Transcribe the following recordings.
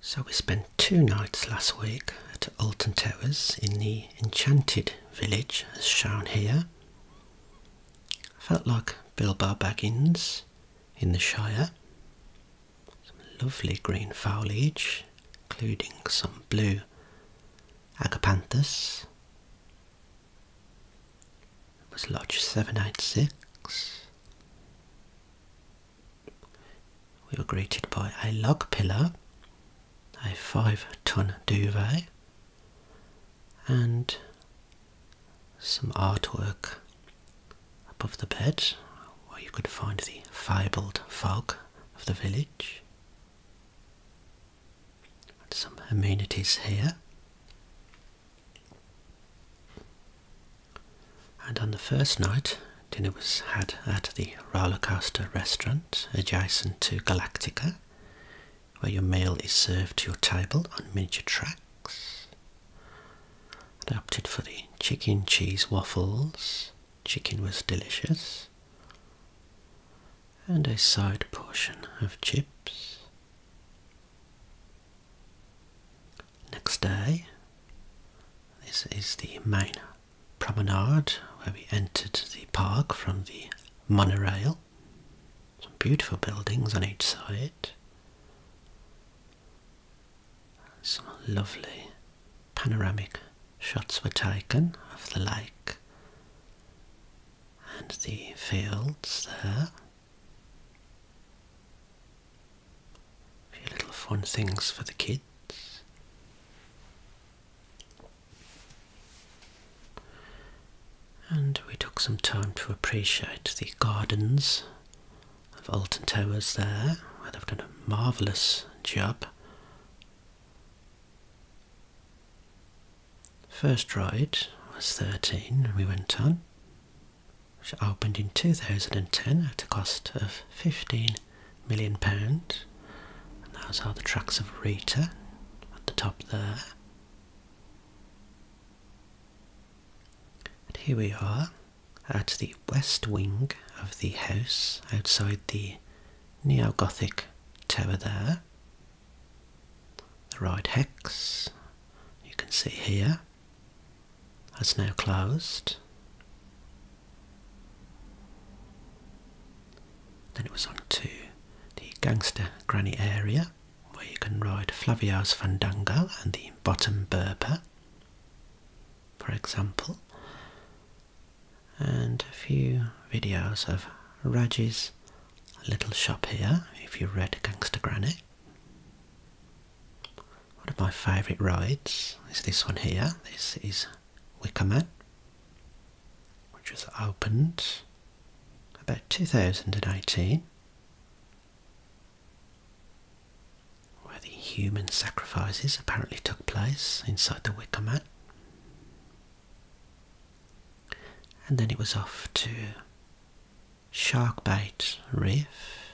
So we spent two nights last week at Alton Towers in the enchanted village as shown here. felt like Bilbo Baggins in the Shire. Some lovely green foliage including some blue agapanthus. It was lodge 786. We were greeted by a log pillar, a five ton duvet, and some artwork above the bed where you could find the fabled fog of the village. some amenities here. And on the first night, dinner was had at the Rollercoaster restaurant adjacent to Galactica, where your meal is served to your table on miniature tracks. And I opted for the chicken cheese waffles. Chicken was delicious. And a side portion of chips. Next day, this is the main promenade where we entered the park from the monorail. Some beautiful buildings on each side. Some lovely panoramic shots were taken of the lake and the fields there few little fun things for the kids. And we took some time to appreciate the gardens of Alton Towers there, where they've done a marvellous job. First ride was 13 we went on which opened in 2010 at a cost of £15 million. And those are the tracks of Rita at the top there. And here we are at the west wing of the house outside the neo Gothic tower there. The right hex you can see here has now closed. Then it was on to the Gangster Granny area where you can ride Flavio's Fandango and the Bottom Berber, for example, and a few videos of Raj's little shop here if you read Gangster Granny. One of my favourite rides is this one here. This is Wickerman, which was opened about 2018, where the human sacrifices apparently took place inside the Wickerman. And then it was off to Sharkbite Reef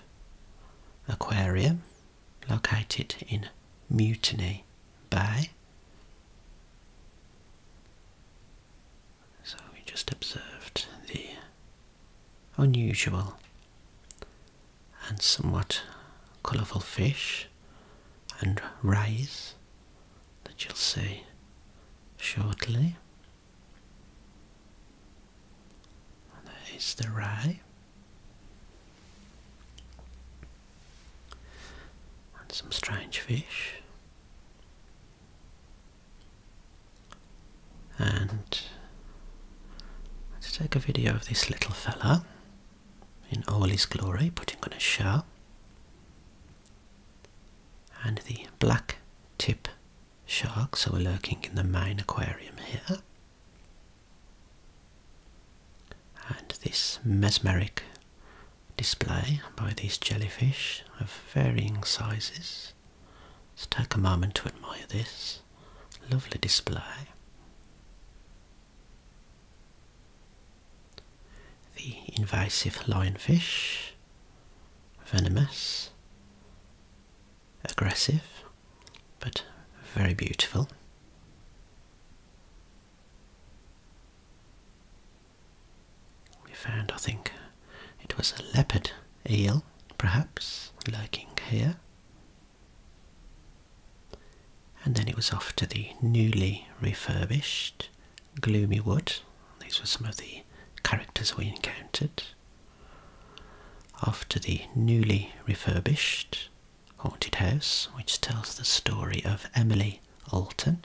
Aquarium located in Mutiny Bay. So we just observed the unusual and somewhat colourful fish and rays that you'll see shortly. And there is the rye. And some strange fish. And let's take a video of this little fella in all his glory putting on a show. And the black tip sharks that were lurking in the main aquarium here. And this mesmeric display by these jellyfish of varying sizes. Let's take a moment to admire this lovely display. The invasive lionfish venomous, aggressive, but very beautiful. We found, I think, it was a leopard eel, perhaps, lurking here. And then it was off to the newly refurbished Gloomy Wood. These were some of the characters we encountered. After the newly refurbished Haunted House, which tells the story of Emily Alton.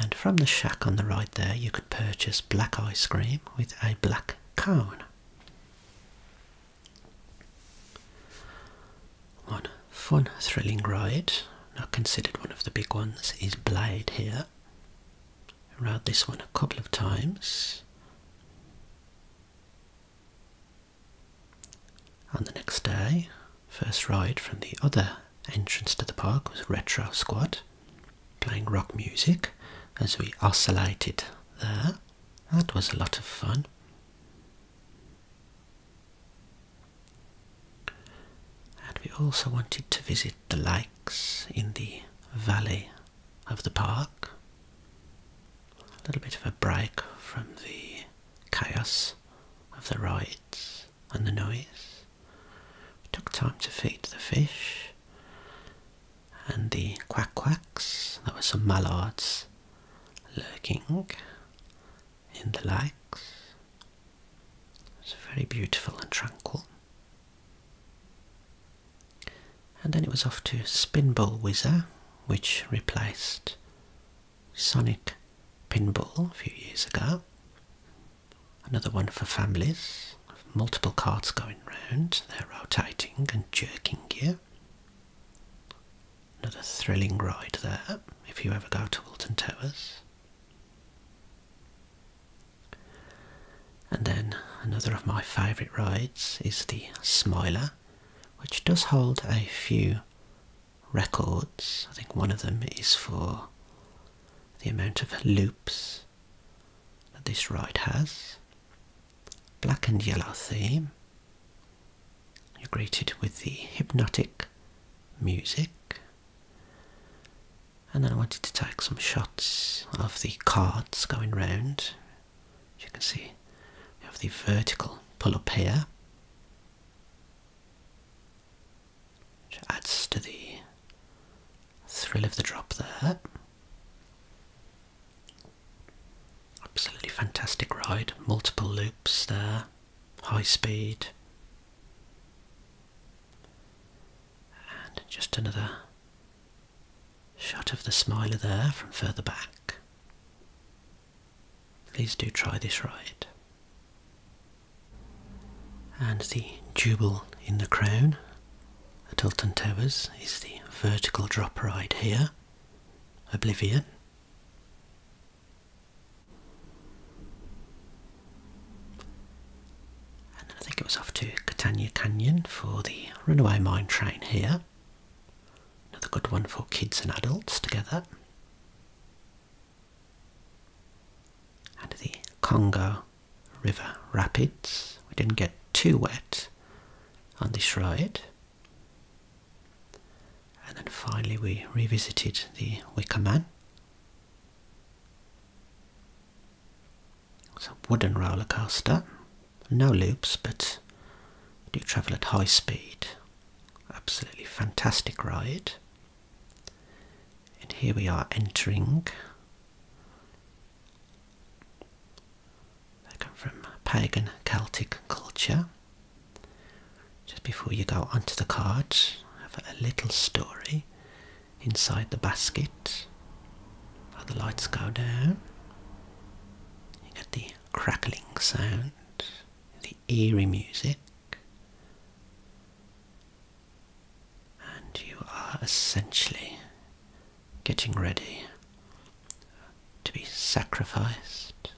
And from the shack on the right there, you could purchase black ice cream with a black cone. One fun, thrilling ride, not considered one of the big ones, is Blade here here around this one a couple of times on the next day first ride from the other entrance to the park was retro squad playing rock music as we oscillated there that was a lot of fun and we also wanted to visit the lakes in the valley of the park. A little bit of a break from the chaos of the rides and the noise. We took time to feed the fish and the quack quacks. There were some mallards lurking in the lakes. It's very beautiful and tranquil. And then it was off to Spinball Whizzer, which replaced Sonic Pinball a few years ago. Another one for families, multiple carts going round, they're rotating and jerking gear. Another thrilling ride there, if you ever go to Wilton Towers. And then another of my favourite rides is the Smiler, which does hold a few records. I think one of them is for the amount of loops that this ride has. Black and yellow theme. You're greeted with the hypnotic music. And then I wanted to take some shots of the cards going round. As you can see, we have the vertical pull up here, which adds to the thrill of the drop there. Absolutely fantastic ride, multiple loops there high speed, and just another shot of the smiler there from further back. Please do try this ride. And the Jubal in the Crown at Tilton Towers is the vertical drop ride here, Oblivion. And I think it was off to Catania Canyon for the Runaway Mine Train here. Another good one for kids and adults together. And the Congo River Rapids. We didn't get too wet on this ride. And then finally, we revisited the Wicker Man. It's a wooden roller coaster, no loops, but do travel at high speed. Absolutely fantastic ride. And here we are entering. They from pagan Celtic culture. Just before you go onto the cards, have a little story inside the basket. While the lights go down, you get the crackling sound, the eerie music, and you are essentially getting ready to be sacrificed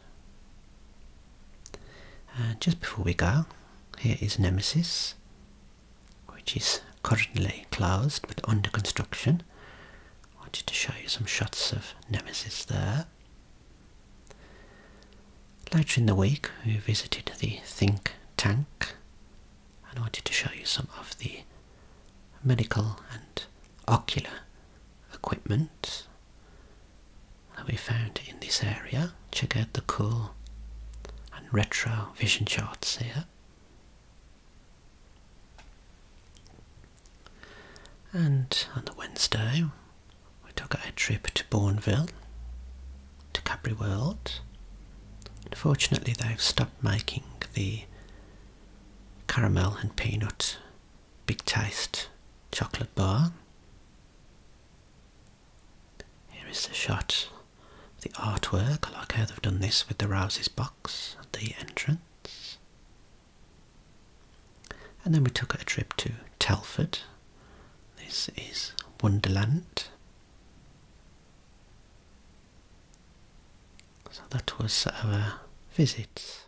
and uh, just before we go, here is Nemesis, which is currently closed but under construction. I wanted to show you some shots of Nemesis there. Later in the week, we visited the Think Tank and I wanted to show you some of the medical and ocular equipment that we found in this area. Check out the cool and retro vision charts here. And on the Wednesday, we took a trip to Bourneville, to Capri World. Unfortunately, they've stopped making the caramel and peanut Big Taste chocolate bar. Here is the shot the artwork. I like how they've done this with the Rouse's box at the entrance. And then we took a trip to Telford. This is Wonderland. So that was our visit.